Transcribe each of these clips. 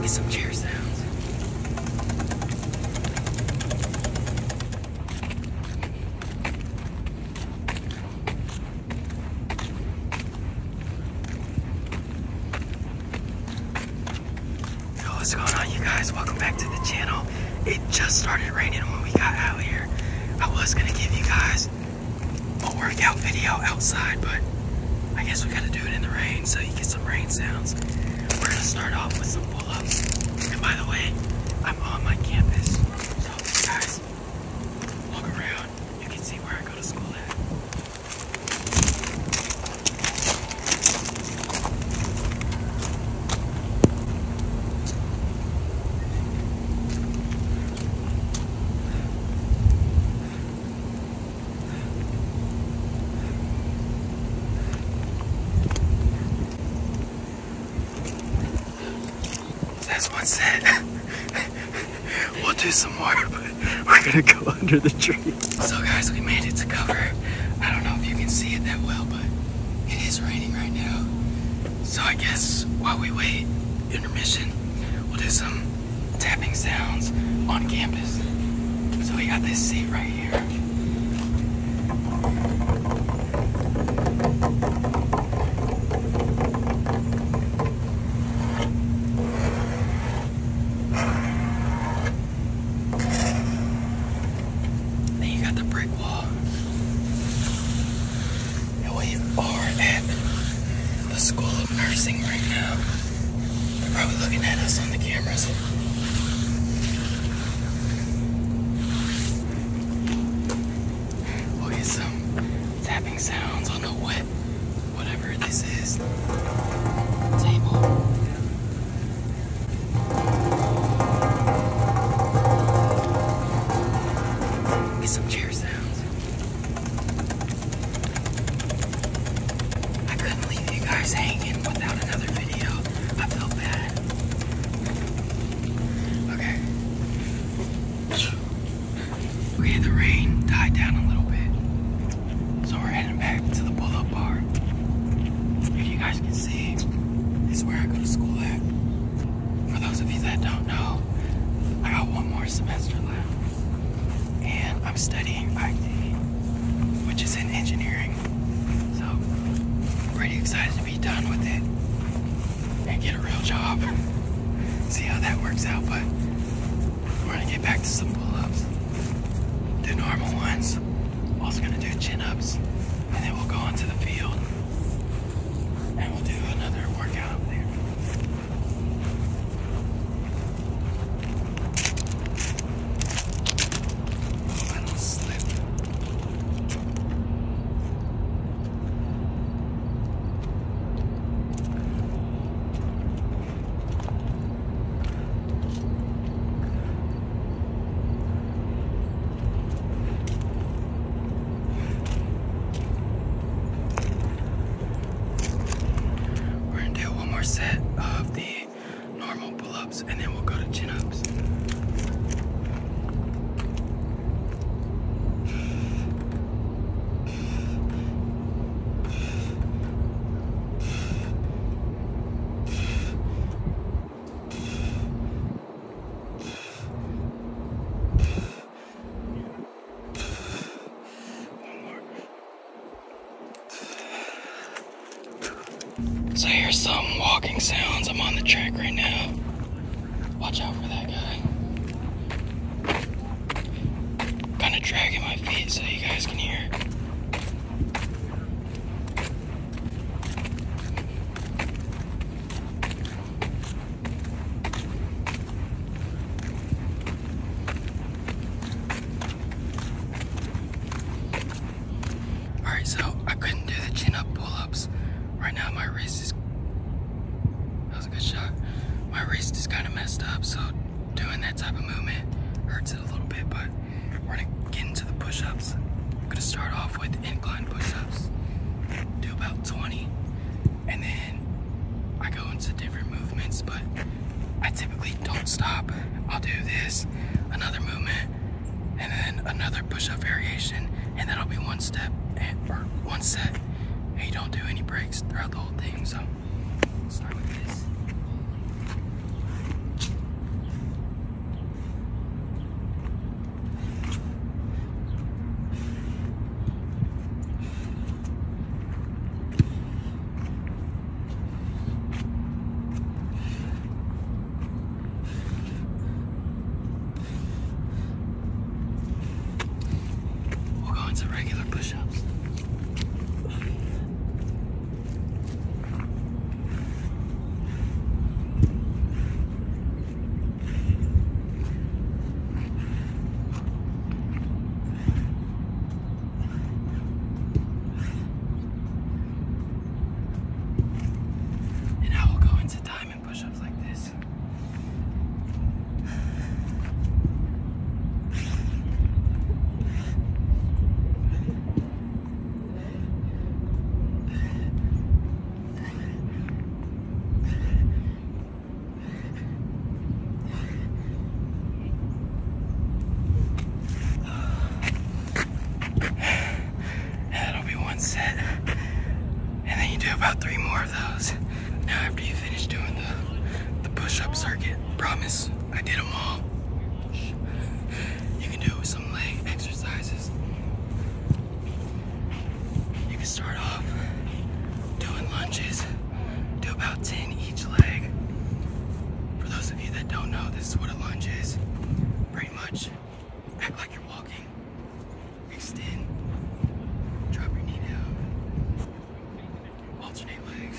Get some chairs down what's going on you guys? Welcome back to the channel. It just started raining when we got out here. I was gonna give you guys a workout video outside, but I guess we gotta do it in the rain so you get some rain sounds. We're gonna start off with some pull-ups. And by the way, I'm on my campus. So guys, nice. Walk around. You can see where I go to school at. That's one set. we'll do some more, but we're gonna go under the tree. So guys, we made it to cover. I don't know if you can see it that well, but it is raining right now. So I guess while we wait, intermission, we'll do some tapping sounds on campus. So we got this seat right here. Then you got the brick wall. we are at the School of Nursing right now. They're probably looking at us on the cameras we'll oh, get some tapping sounds on the what, whatever this is, table. Get some chair sounds. I couldn't leave you guys hanging without another video. I felt bad. Okay. Okay, the rain died down a little bit. So we're heading back to the pull-up bar. If you guys can see, it's where I go to school at. For those of you that don't know, I got one more semester left. And I'm studying IT, which is in engineering. So, pretty excited to be done with it and get a real job. See how that works out, but we're gonna get back to some pull-ups. the normal ones. Also gonna do chin-ups, and then we'll go onto the field. And we'll do another workout there. Oh, slip. We're gonna do one more set of the normal pull-up ups and then we'll go to chin ups. One more. So here's some walking sounds. I'm on the track right now. Watch out for that guy. kinda dragging my feet so you guys can hear. All right, so I couldn't do the chin up pull-ups. Right now my wrist is, that was a good shot. My wrist is kind of messed up, so doing that type of movement hurts it a little bit, but we're gonna get into the push-ups. I'm gonna start off with incline push-ups, do about 20, and then I go into different movements, but I typically don't stop. I'll do this, another movement, and then another push-up variation, and that'll be one step eh, or one set. And you don't do any breaks throughout the whole thing. So start with this. We'll go into regular push-ups. And I will go into diamond push-ups like this. And that'll be one set. And then you do about three more of those. Now after you finish doing the, the push-up circuit, promise, I did them all. You can do some leg exercises. You can start off doing lunges. Do about 10 each leg. For those of you that don't know, this is what a lunge is very much. Act like you're walking. Extend. Drop your knee down. Alternate legs.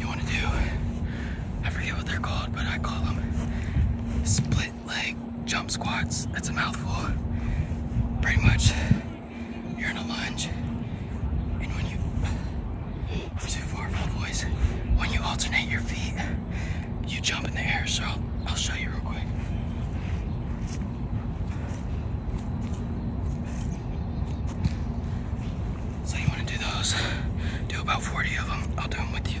you want to do, I forget what they're called, but I call them split leg jump squats. That's a mouthful. Pretty much, you're in a lunge, and when you, too far for when you alternate your feet, you jump in the air, so I'll, show you real quick. So you want to do those? Do about 40 of them. I'll do them with you.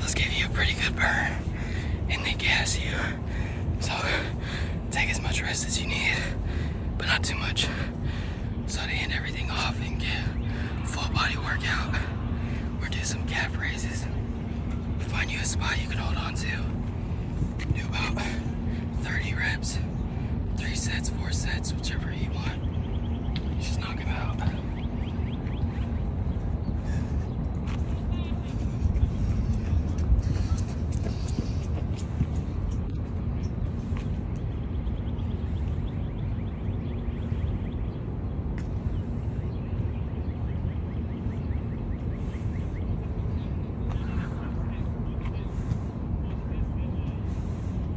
This give you a pretty good burn and they gas you. So take as much rest as you need, but not too much. So to end everything off and get full body workout or do some calf raises, find you a spot you can hold on to. Do about 30 reps, three sets, four sets, whichever you want. She's knocking out.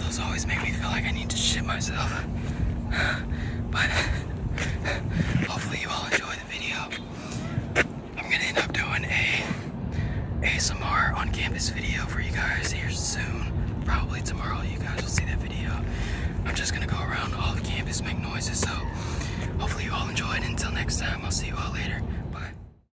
Those always make me feel like I need to shit myself. But hopefully you all enjoy the video. I'm gonna end up doing a ASMR on campus video for you guys here soon. Probably tomorrow you guys will see that video. I'm just gonna go around all the campus, make noises, so hopefully you all enjoy it. Until next time, I'll see you all later. Bye.